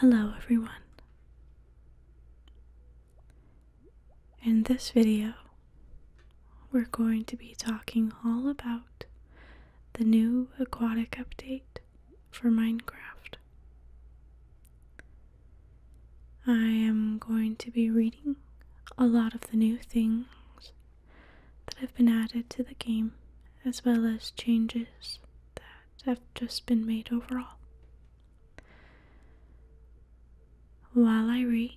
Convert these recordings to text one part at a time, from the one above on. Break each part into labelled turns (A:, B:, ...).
A: Hello everyone. In this video, we're going to be talking all about the new aquatic update for Minecraft. I am going to be reading a lot of the new things that have been added to the game, as well as changes that have just been made overall. While I read,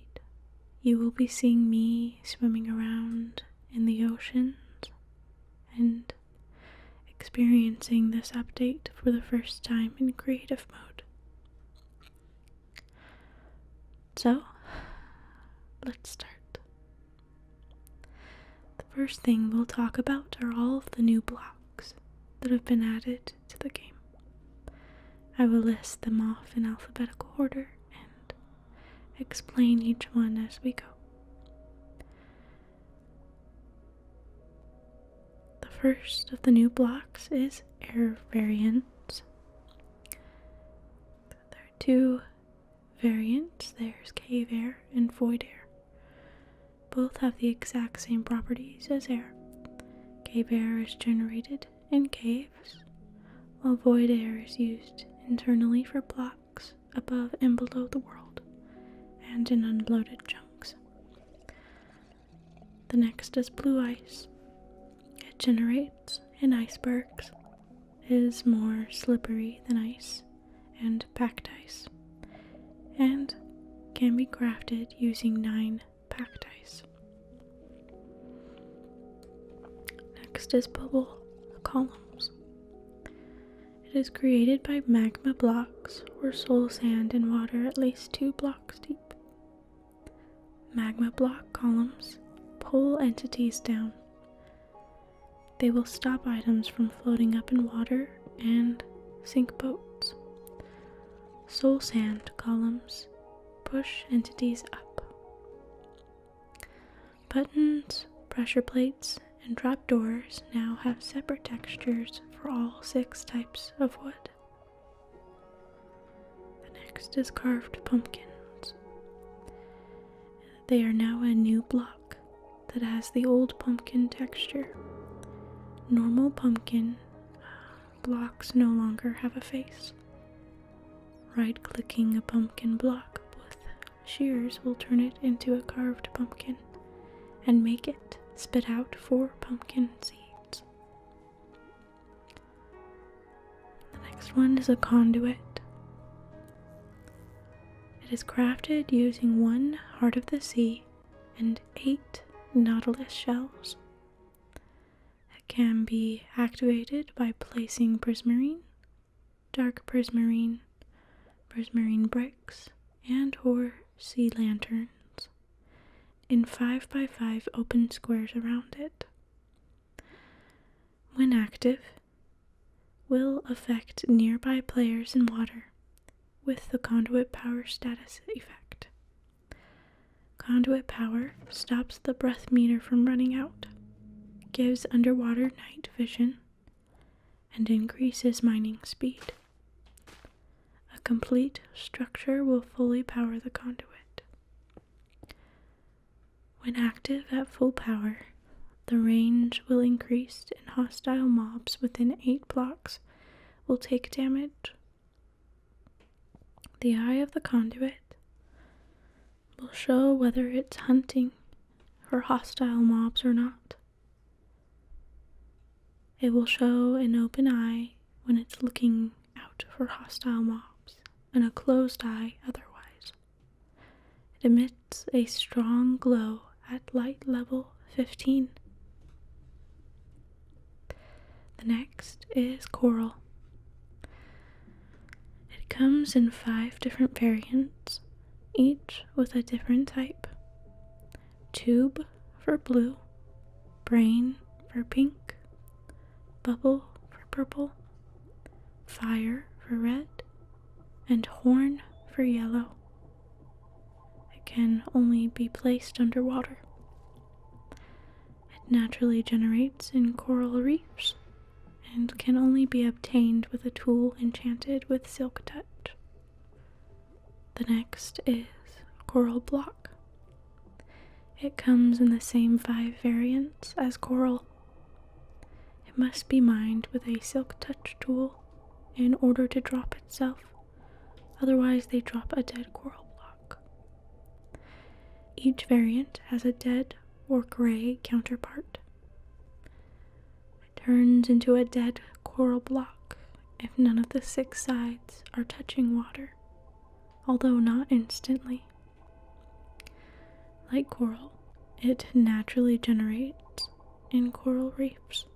A: you will be seeing me swimming around in the oceans and experiencing this update for the first time in creative mode. So, let's start. The first thing we'll talk about are all of the new blocks that have been added to the game. I will list them off in alphabetical order and explain each one as we go. The first of the new blocks is air variants. There are two Variants. there's cave air and void air. Both have the exact same properties as air. Cave air is generated in caves, while void air is used internally for blocks above and below the world and in unloaded chunks. The next is blue ice. It generates in icebergs is more slippery than ice and packed ice, and can be crafted using nine packed ice. Next is bubble columns. It is created by magma blocks or soul sand and water at least two blocks deep. Magma block columns pull entities down, they will stop items from floating up in water and sink boats. Soul sand columns push entities up. Buttons, pressure plates, and drop doors now have separate textures for all six types of wood. The next is carved pumpkins. They are now a new block that has the old pumpkin texture. Normal pumpkin blocks no longer have a face. Right clicking a pumpkin block with shears will turn it into a carved pumpkin and make it spit out four pumpkin seeds. The next one is a conduit. It is crafted using one heart of the sea and eight nautilus shells. It can be activated by placing prismarine, dark prismarine, prismarine bricks, and or sea lanterns in 5 by 5 open squares around it. When active, will affect nearby players in water with the conduit power status effect. Conduit power stops the breath meter from running out, gives underwater night vision, and increases mining speed. A complete structure will fully power the conduit. When active at full power, the range will increase and hostile mobs within 8 blocks will take damage. The eye of the conduit will show whether it's hunting for hostile mobs or not. It will show an open eye when it's looking out for hostile mobs and a closed eye otherwise. It emits a strong glow at light level 15. The next is coral. It comes in five different variants, each with a different type tube for blue, brain for pink, bubble for purple, fire for red, and horn for yellow. It can only be placed underwater. It naturally generates in coral reefs and can only be obtained with a tool enchanted with silk touch. The next is coral block. It comes in the same five variants as coral it must be mined with a silk touch tool in order to drop itself, otherwise, they drop a dead coral block. Each variant has a dead or gray counterpart. It turns into a dead coral block if none of the six sides are touching water, although not instantly. Like coral, it naturally generates in coral reefs.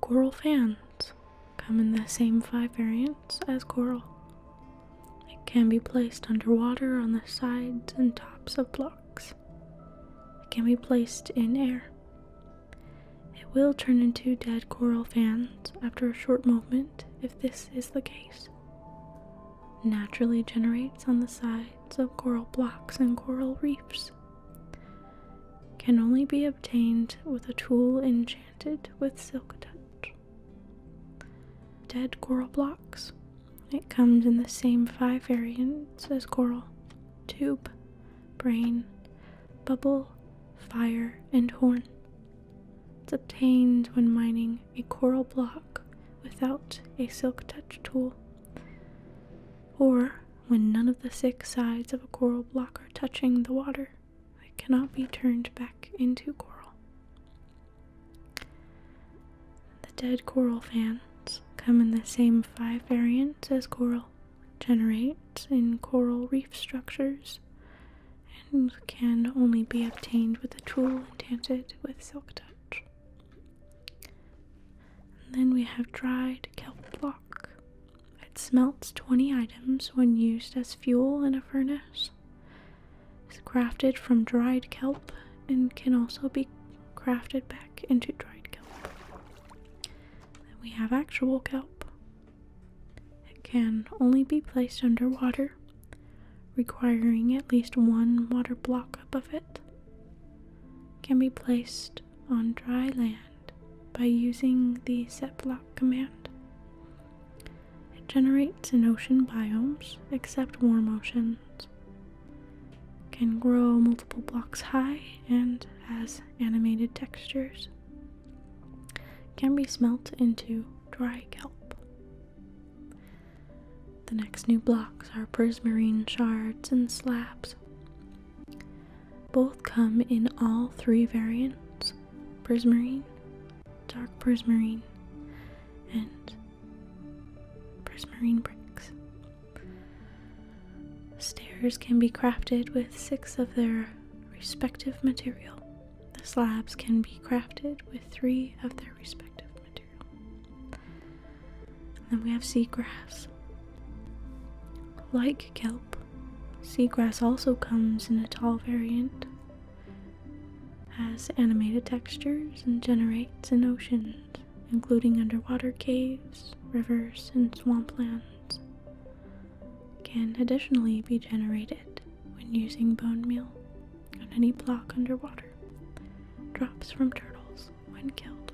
A: Coral fans come in the same five variants as coral. It can be placed underwater on the sides and tops of blocks. It can be placed in air. It will turn into dead coral fans after a short moment if this is the case naturally generates on the sides of coral blocks and coral reefs. Can only be obtained with a tool enchanted with silk touch. Dead coral blocks. It comes in the same five variants as coral tube, brain, bubble, fire, and horn. It's obtained when mining a coral block without a silk touch tool. Or when none of the six sides of a coral block are touching the water, it cannot be turned back into coral. The dead coral fans come in the same five variants as coral, generate in coral reef structures, and can only be obtained with a tool enchanted with silk touch then we have dried kelp block. It smelts 20 items when used as fuel in a furnace. It's crafted from dried kelp and can also be crafted back into dried kelp. Then we have actual kelp. It can only be placed underwater requiring at least one water block above it, can be placed on dry land by using the setblock command. It generates in ocean biomes, except warm oceans. Can grow multiple blocks high and has animated textures. Can be smelt into dry kelp. The next new blocks are prismarine shards and slabs. Both come in all three variants prismarine, dark prismarine, and prismarine bricks. Stairs can be crafted with six of their respective material. slabs can be crafted with three of their respective and then we have seagrass. Like kelp, seagrass also comes in a tall variant, has animated textures, and generates in oceans, including underwater caves, rivers, and swamplands. Can additionally be generated when using bone meal on any block underwater. Drops from turtles when killed.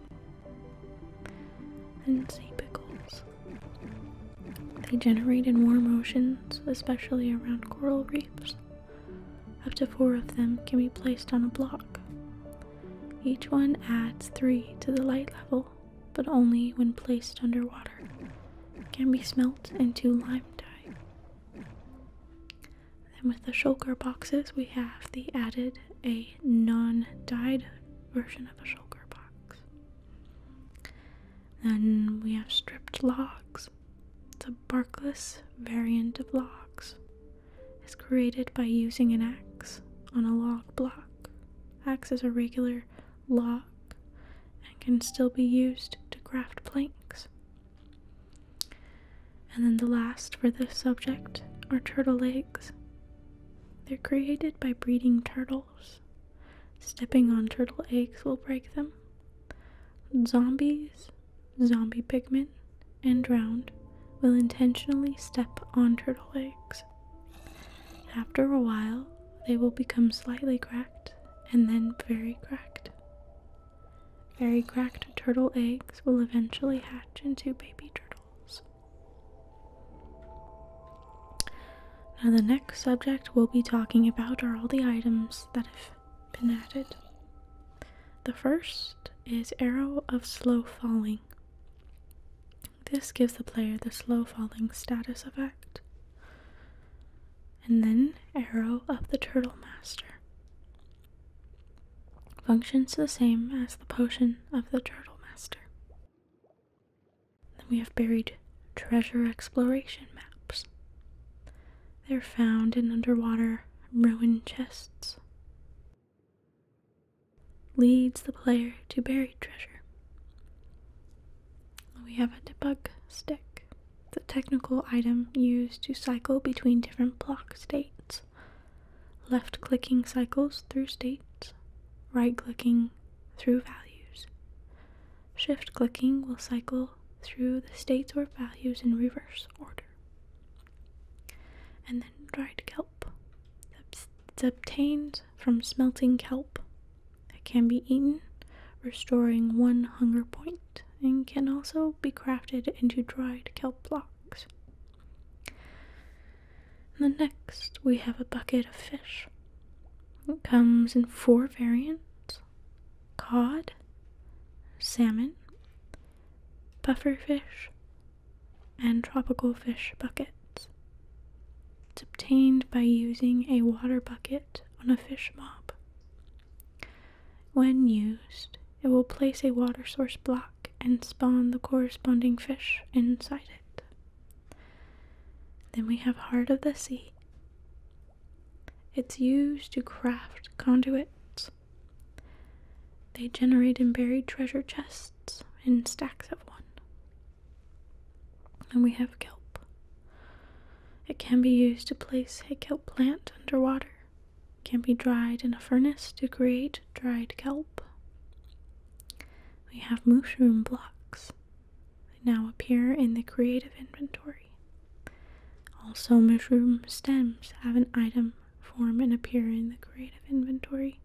A: And sea pickles. They generate in warm oceans, especially around coral reefs. Up to four of them can be placed on a block. Each one adds three to the light level, but only when placed underwater. Can be smelt into lime dye. Then with the shulker boxes, we have the added a non-dyed version of a shulker box. Then we have stripped logs. It's a barkless variant of logs. It's created by using an axe on a log block. Acts as a regular log and can still be used to craft planks. And then the last for this subject are turtle eggs. They're created by breeding turtles. Stepping on turtle eggs will break them. Zombies, zombie pigment, and drowned will intentionally step on turtle eggs. After a while, they will become slightly cracked and then very cracked. Very cracked turtle eggs will eventually hatch into baby turtles. Now, the next subject we'll be talking about are all the items that have been added. The first is Arrow of Slow Falling. This gives the player the slow falling status effect. And then Arrow of the Turtle Master. Functions the same as the potion of the Turtle Master. Then we have buried treasure exploration maps. They're found in underwater ruin chests. Leads the player to buried treasure. We have a debug stick, the technical item used to cycle between different block states left clicking cycles through states, right clicking through values. Shift clicking will cycle through the states or values in reverse order. And then dried kelp. It's obtained from smelting kelp that can be eaten, restoring one hunger point and can also be crafted into dried kelp blocks. And the next, we have a bucket of fish. It comes in four variants cod, salmon, buffer fish, and tropical fish buckets. It's obtained by using a water bucket on a fish mob. When used, it will place a water source block and spawn the corresponding fish inside it. Then we have Heart of the Sea. It's used to craft conduits. They generate and buried treasure chests in stacks of one. And we have kelp. It can be used to place a kelp plant underwater can be dried in a furnace to create dried kelp. We have mushroom blocks. They now appear in the creative inventory. Also, mushroom stems have an item form and appear in the creative inventory.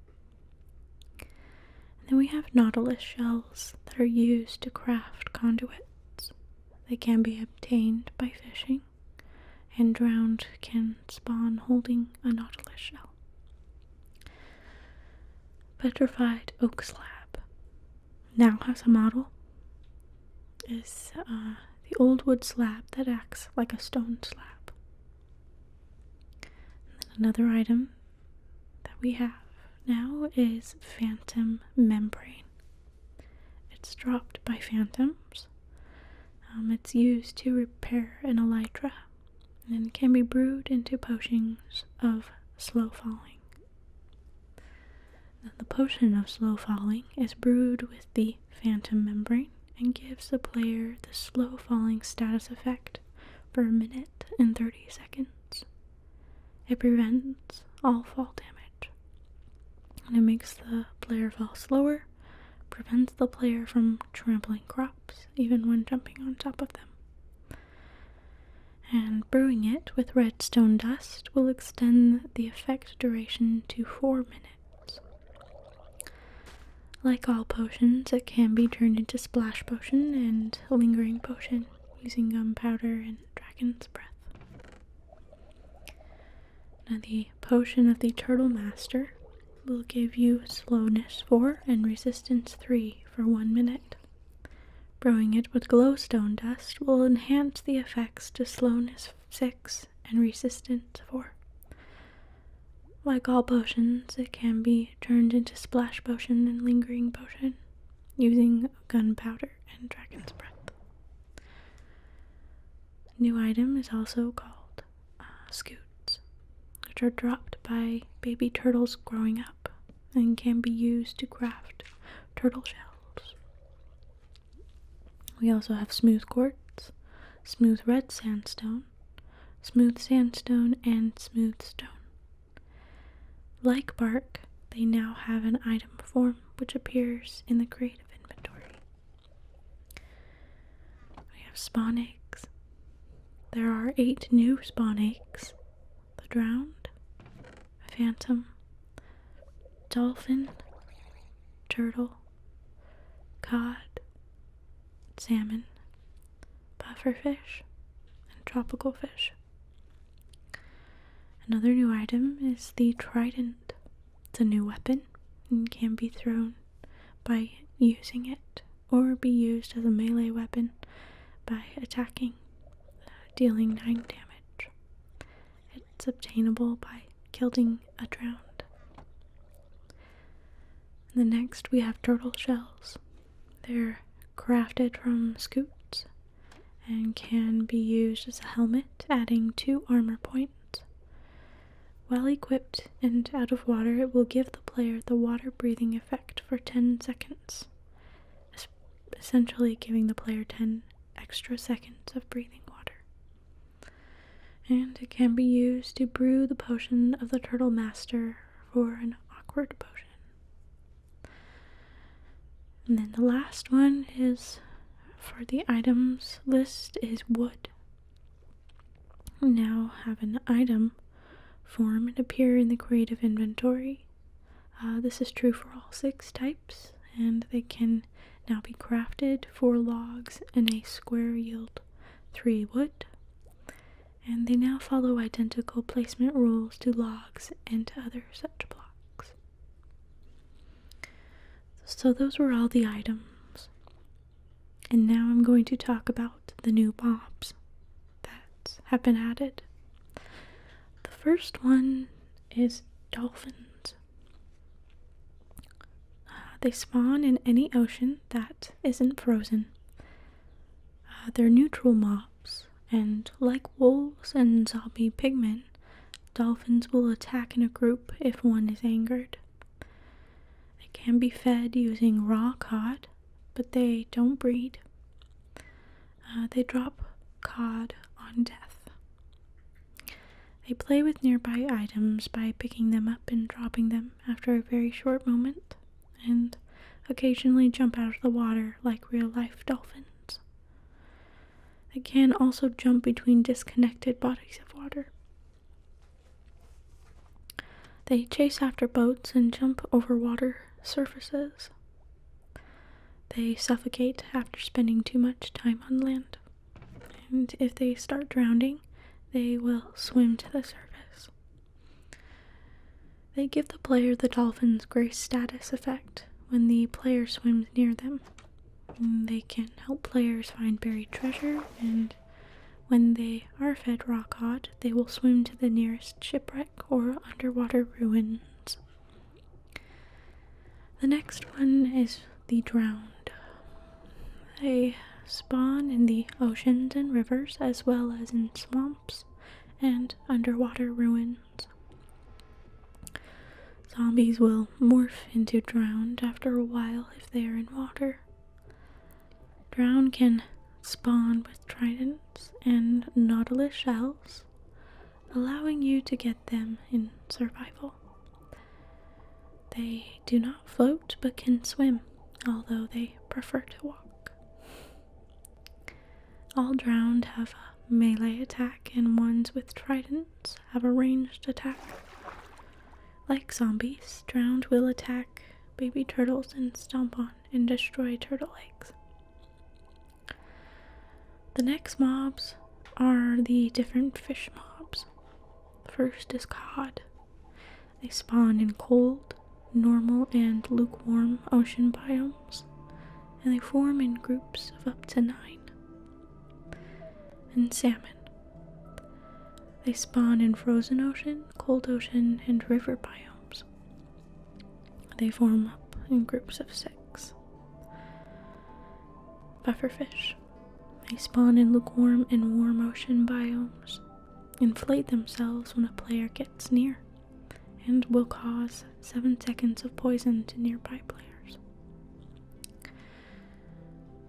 A: And then we have nautilus shells that are used to craft conduits. They can be obtained by fishing and drowned can spawn holding a nautilus shell. Petrified oak slab now has a model. Is uh, the old wood slab that acts like a stone slab. And then another item that we have now is phantom membrane. It's dropped by phantoms um, it's used to repair an elytra and can be brewed into potions of slow falling. the potion of slow falling is brewed with the phantom membrane and gives the player the slow falling status effect for a minute and 30 seconds. It prevents all fall damage it makes the player fall slower, prevents the player from trampling crops even when jumping on top of them. And brewing it with redstone dust will extend the effect duration to 4 minutes. Like all potions, it can be turned into splash potion and lingering potion using gunpowder and dragon's breath. Now, the potion of the Turtle Master will give you slowness 4 and resistance 3 for 1 minute. Brewing it with glowstone dust will enhance the effects to slowness 6 and resistance 4. Like all potions, it can be turned into splash potion and lingering potion using gunpowder and dragon's breath. New item is also called uh, scoots, which are dropped by baby turtles growing up and can be used to craft turtle shells. We also have smooth quartz, smooth red sandstone, smooth sandstone, and smooth stone. Like bark, they now have an item form which appears in the creative inventory. We have spawn eggs. There are eight new spawn eggs. The drowned, phantom, dolphin, turtle, cod, salmon, pufferfish, and tropical fish. Another new item is the trident it's a new weapon and can be thrown by using it or be used as a melee weapon by attacking, dealing 9 damage. It's obtainable by killing a drowned. And the next we have turtle shells. They're crafted from scoots and can be used as a helmet, adding 2 armor points. Well equipped and out of water, it will give the player the water breathing effect for 10 seconds, essentially giving the player 10 extra seconds of breathing water. And it can be used to brew the potion of the Turtle Master for an awkward potion. And then the last one is for the items list is wood now have an item form and appear in the creative inventory. Uh, this is true for all six types, and they can now be crafted for logs and a square yield three wood. And they now follow identical placement rules to logs and to other such blocks. So, those were all the items. And now I'm going to talk about the new mobs that have been added. The first one is dolphins. Uh, they spawn in any ocean that isn't frozen. Uh, they're neutral mobs, and like wolves and zombie pigmen, dolphins will attack in a group if one is angered. They can be fed using raw cod, but they don't breed. Uh, they drop cod on death. They play with nearby items by picking them up and dropping them after a very short moment, and occasionally jump out of the water like real life dolphins. They can also jump between disconnected bodies of water, they chase after boats and jump over water surfaces. They suffocate after spending too much time on land. And if they start drowning, they will swim to the surface. They give the player the dolphin's grace status effect when the player swims near them. They can help players find buried treasure, and when they are fed raw cod, they will swim to the nearest shipwreck or underwater ruins. The next one is the drowned. They spawn in the oceans and rivers as well as in swamps and underwater ruins. Zombies will morph into drowned after a while if they are in water. Drown can spawn with tridents and nautilus shells, allowing you to get them in survival. They do not float but can swim, although they prefer to walk. All drowned have a melee attack, and ones with trident have a ranged attack. Like zombies, drowned will attack baby turtles and stomp on and destroy turtle eggs. The next mobs are the different fish mobs. First is cod. They spawn in cold, normal, and lukewarm ocean biomes, and they form in groups of up to nine and salmon. They spawn in frozen ocean, cold ocean, and river biomes. They form up in groups of six. Pufferfish. They spawn in lukewarm and warm ocean biomes, inflate themselves when a player gets near, and will cause 7 seconds of poison to nearby players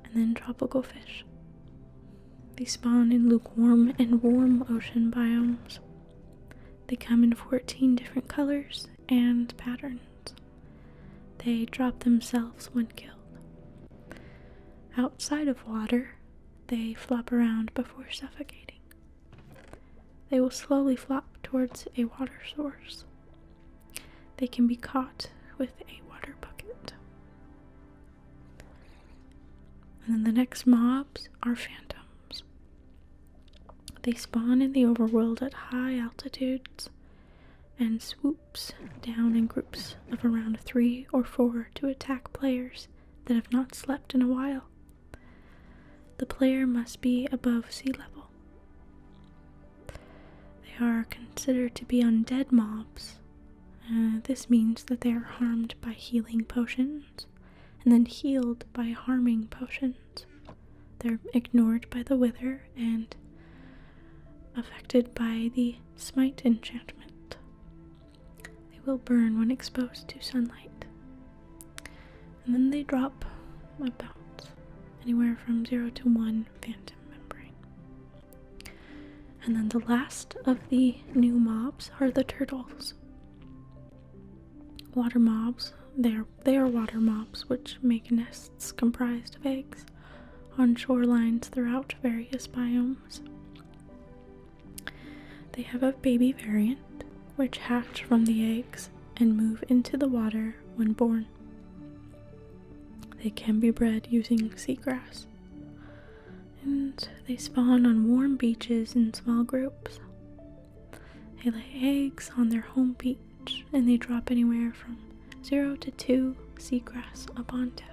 A: and then tropical fish. They spawn in lukewarm and warm ocean biomes. They come in 14 different colors and patterns. They drop themselves when killed. Outside of water, they flop around before suffocating. They will slowly flop towards a water source. They can be caught with a water bucket. And then the next mobs are phantoms. They spawn in the overworld at high altitudes and swoops down in groups of around three or four to attack players that have not slept in a while. The player must be above sea level. They are considered to be undead mobs. Uh, this means that they are harmed by healing potions and then healed by harming potions. They're ignored by the wither and affected by the smite enchantment. They will burn when exposed to sunlight. And then they drop about anywhere from 0 to 1 phantom membrane. And then the last of the new mobs are the turtles. Water mobs, they are, water mobs which make nests comprised of eggs on shorelines throughout various biomes. They have a baby variant which hatches from the eggs and move into the water when born. They can be bred using seagrass and they spawn on warm beaches in small groups. They lay eggs on their home beach and they drop anywhere from 0 to 2 seagrass upon tip.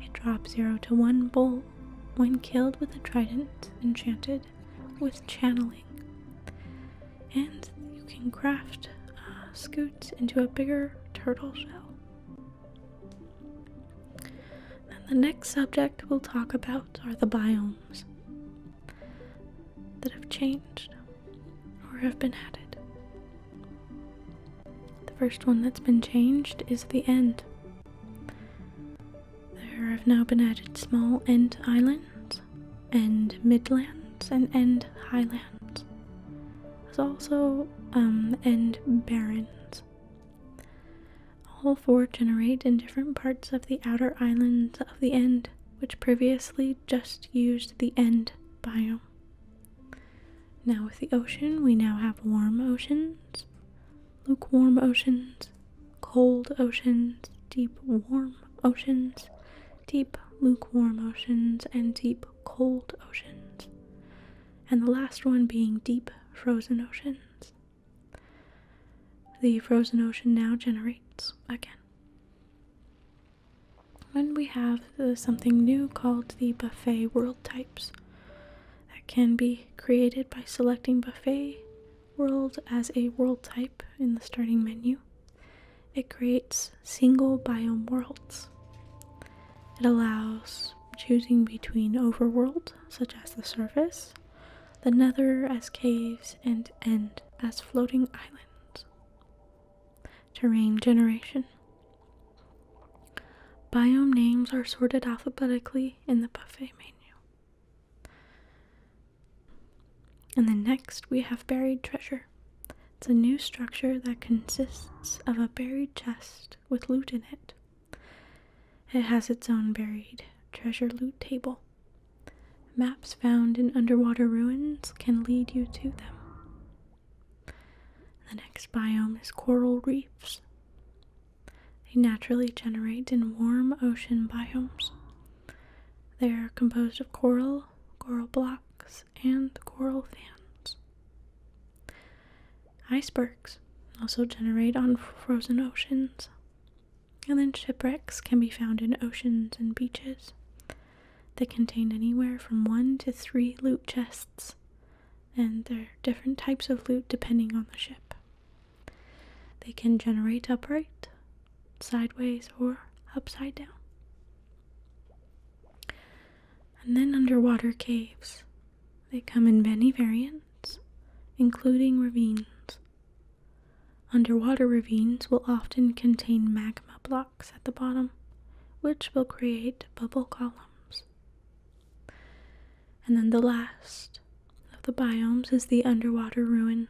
A: They drop 0 to 1 bowl when killed with a trident enchanted with channeling. And you can craft uh, scoots into a bigger turtle shell. Then the next subject we'll talk about are the biomes that have changed or have been added. The first one that's been changed is the end. There have now been added small end islands, end midlands, and end highlands. There's also um, End barrens. All four generate in different parts of the outer islands of the end, which previously just used the end biome. Now, with the ocean, we now have warm oceans, lukewarm oceans, cold oceans, deep warm oceans, deep lukewarm oceans, and deep cold oceans, and the last one being deep, frozen oceans. The frozen ocean now generates again. Then we have uh, something new called the buffet world types that can be created by selecting buffet world as a world type in the starting menu. It creates single biome worlds. It allows choosing between overworld, such as the surface, the nether as caves, and end as floating islands. Terrain generation. Biome names are sorted alphabetically in the buffet menu. And then next we have buried treasure. It's a new structure that consists of a buried chest with loot in it. It has its own buried treasure loot table. Maps found in underwater ruins can lead you to them. The next biome is coral reefs. They naturally generate in warm ocean biomes. They are composed of coral, coral blocks, and coral fans. Icebergs also generate on frozen oceans. And then shipwrecks can be found in oceans and beaches. They contain anywhere from one to three loot chests, and there are different types of loot depending on the ship. They can generate upright, sideways, or upside down and then underwater caves. They come in many variants, including ravines. Underwater ravines will often contain magma blocks at the bottom, which will create bubble columns. And then the last of the biomes is the underwater ruins.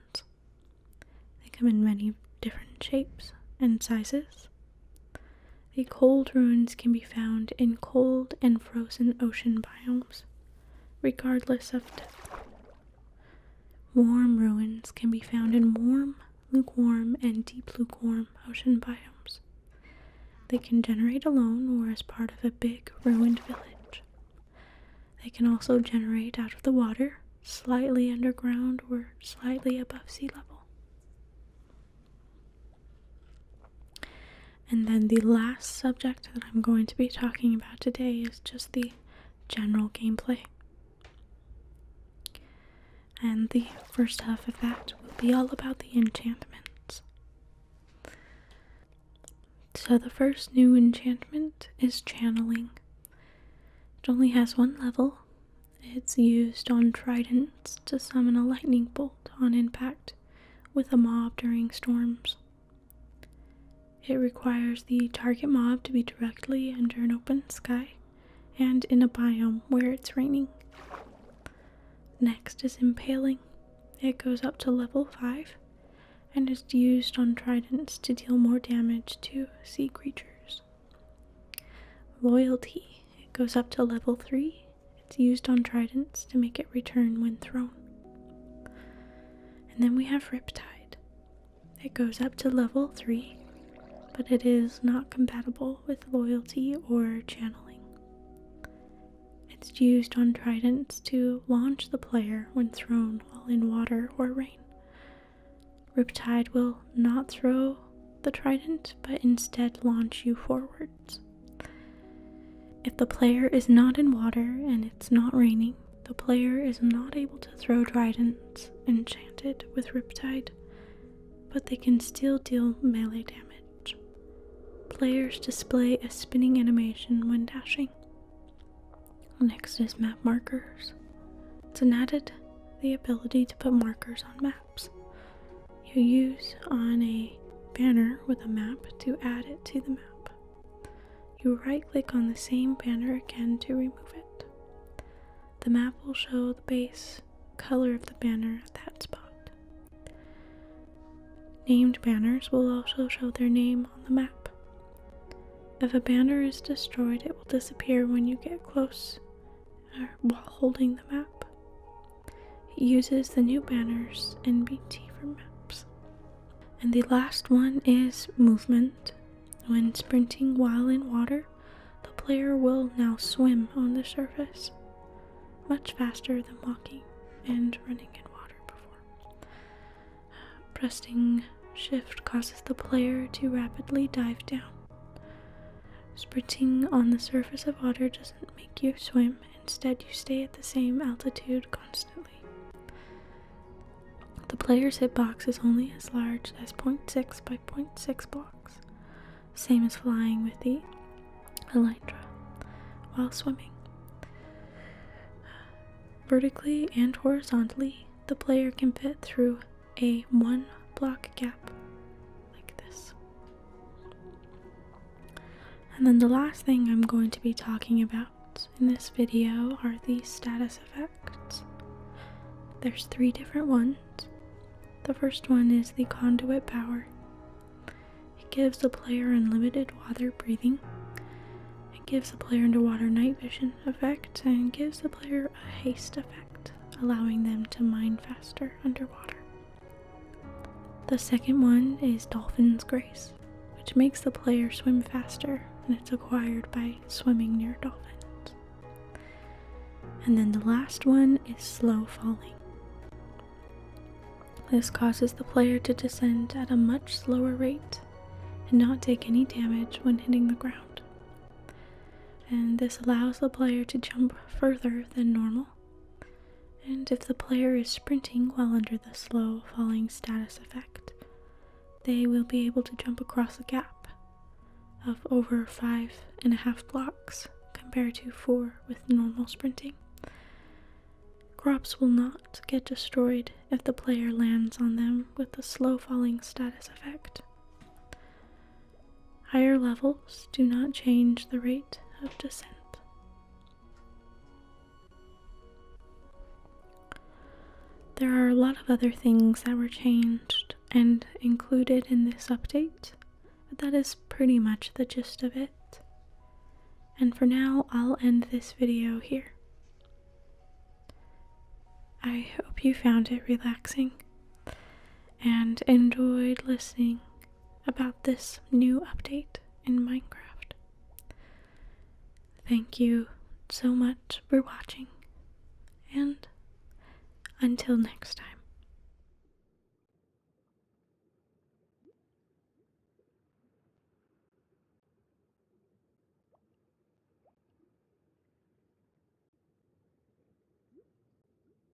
A: They come in many different shapes and sizes, the cold ruins can be found in cold and frozen ocean biomes, regardless of depth. Warm ruins can be found in warm, lukewarm, and deep lukewarm ocean biomes. They can generate alone or as part of a big ruined village. They can also generate out of the water, slightly underground or slightly above sea level. And then the last subject that I'm going to be talking about today is just the general gameplay. And the first half of that will be all about the enchantments. So, the first new enchantment is channeling. It only has one level, it's used on tridents to summon a lightning bolt on impact with a mob during storms. It requires the target mob to be directly under an open sky and in a biome where it's raining. Next is Impaling. It goes up to level 5 and is used on tridents to deal more damage to sea creatures. Loyalty. goes up to level 3. It's used on tridents to make it return when thrown. And then we have Riptide. It goes up to level 3, but it is not compatible with loyalty or channeling. It's used on tridents to launch the player when thrown while in water or rain. Riptide will not throw the trident, but instead launch you forwards. If the player is not in water and it's not raining, the player is not able to throw tridents enchanted with Riptide, but they can still deal melee damage. Players display a spinning animation when dashing. Next is map markers. It's an added the ability to put markers on maps. You use on a banner with a map to add it to the map. You right click on the same banner again to remove it. The map will show the base color of the banner at that spot. Named banners will also show their name on the map. If a banner is destroyed, it will disappear when you get close while holding the map. It uses the new banners and BT for maps. And the last one is movement. When sprinting while in water, the player will now swim on the surface much faster than walking and running in water before. Pressing shift causes the player to rapidly dive down Sprinting on the surface of water doesn't make you swim, instead, you stay at the same altitude constantly. The player's hitbox is only as large as 0.6 by 0.6 blocks, same as flying with the elytra while swimming. Vertically and horizontally, the player can fit through a one block gap like this. And then the last thing I'm going to be talking about in this video are the status effects. There's three different ones. The first one is the conduit power. It gives the player unlimited water breathing. It gives the player underwater night vision effect and gives the player a haste effect, allowing them to mine faster underwater. The second one is Dolphin's Grace, which makes the player swim faster, and it's acquired by swimming near dolphins. And then the last one is Slow Falling. This causes the player to descend at a much slower rate and not take any damage when hitting the ground. And this allows the player to jump further than normal and if the player is sprinting while under the slow falling status effect, they will be able to jump across a gap of over five and a half blocks compared to four with normal sprinting. Crops will not get destroyed if the player lands on them with the slow falling status effect. Higher levels do not change the rate of descent. There are a lot of other things that were changed and included in this update, but that is pretty much the gist of it. And for now, I'll end this video here. I hope you found it relaxing and enjoyed listening about this new update in Minecraft. Thank you so much for watching, and until next time.